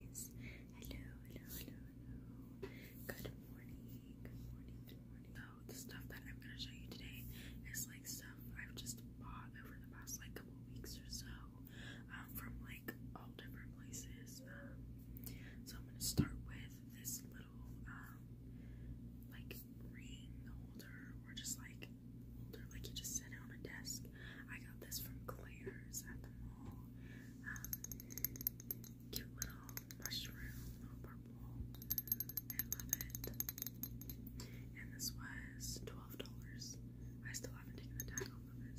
Hello, hello, hello, hello. Good morning, good morning, good morning. So oh, the stuff that I'm gonna show you today is like stuff I've just bought over the past like couple weeks or so, um, from like all different places. Um, so I'm gonna start with this little um, like ring holder or just like holder, like you just sit on a desk I got this from Claire's at the mall. Um, cute little mushroom, purple. I love it. And this was twelve dollars. I still haven't taken the tag off of it,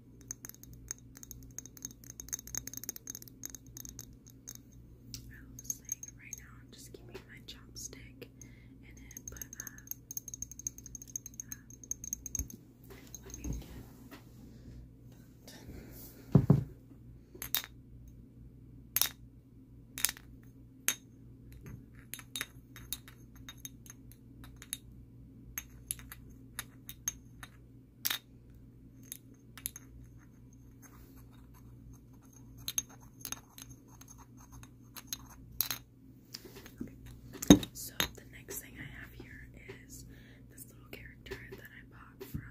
I love am just keeping my chopstick and then put, uh, so the next thing I have here is this little character that I bought from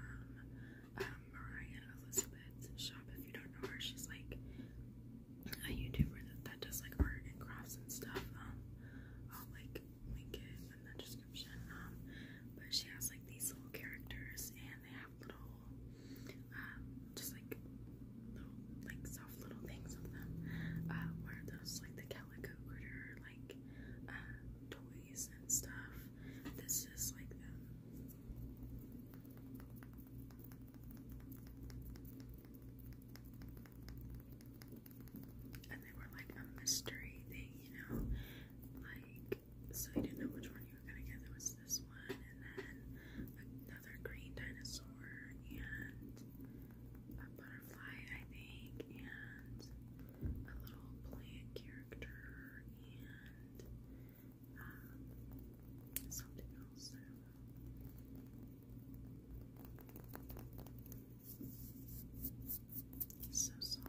um, Mariah Elizabeth's shop. If you don't know her, she's like a YouTuber that, that does like art and crafts and stuff. Um, I'll like link it in the description. Um, but she has like these little characters, and they have little, um, just like little, like soft little things of them. Uh, where those like the calico critter, like uh, toys and stuff. This is like them and they were like a mystery thing, you know, like so you didn't know which one you were gonna get. There was this one, and then another green dinosaur, and a butterfly, I think, and a little plant character, and um, something else. It's so soft.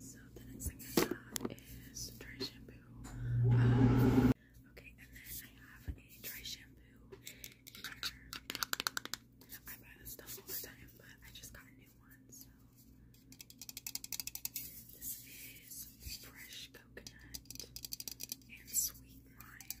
So the next thing I have is dry shampoo. Um, okay, and then I have a dry shampoo I buy this stuff all the time, but I just got a new one, so. This is fresh coconut and sweet lime.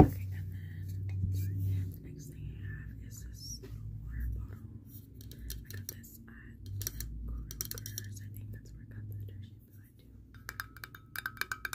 Okay, and then the next thing I have is this little water bottle. I got this at Kroger's. I think that's where I got the detergent, but I do.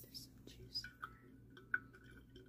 There's some juice in there.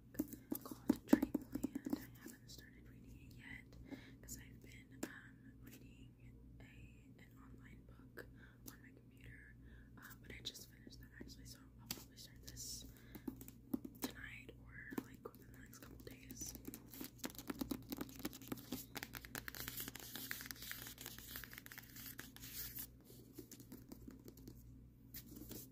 called Dreamland. I haven't started reading yet because I've been reading an online book on my computer, but I just finished that actually, so I'll probably start this um, um, um, tonight or like within the next couple days.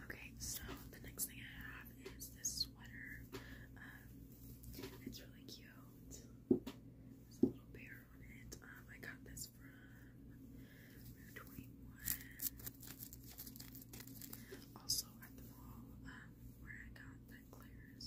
Okay, so the next thing I have is this sweater. Um, it's really cute. There's a little bear on it. Um, I got this from Rue 21. Also at the mall um, where I got the Claire's.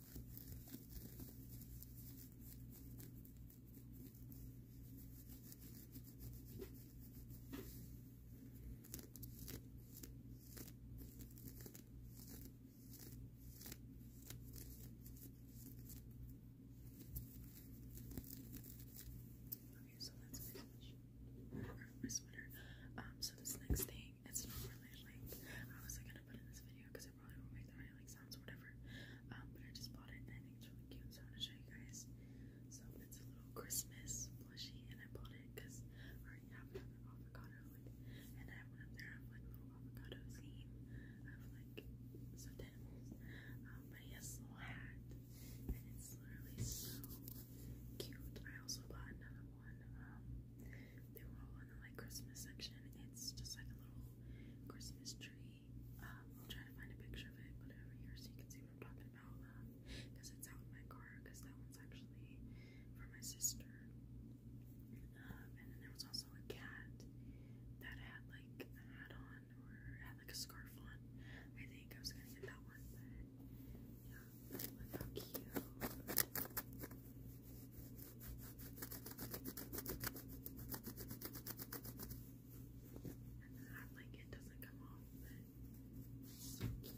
Okay, so that's finished. My sweater. Um, so this next thing, it's not really like I was like gonna put in this video because I probably won't make that many like sounds whatever. Um, but I just bought it and it's really cute, so I want to show you guys. So it's a little Christmas plushie, and I bought it because already have another avocado, like, and I have up there. I like little avocado theme. I like some um, he has a little hat, and it's literally so cute. I also bought another one. Um, they were all in the like Christmas section. It's just like a little Christmas tree. Um, I'll try to find a picture of it, put it over here so you can see what I'm talking about. Because uh, um, it's out in my car, because that one's actually for my sister. Um, and then there was also a cat that had like a hat on or had like a scarf on. I think I was gonna get that one, but yeah, look how cute. And then that doesn't come off, but so cute.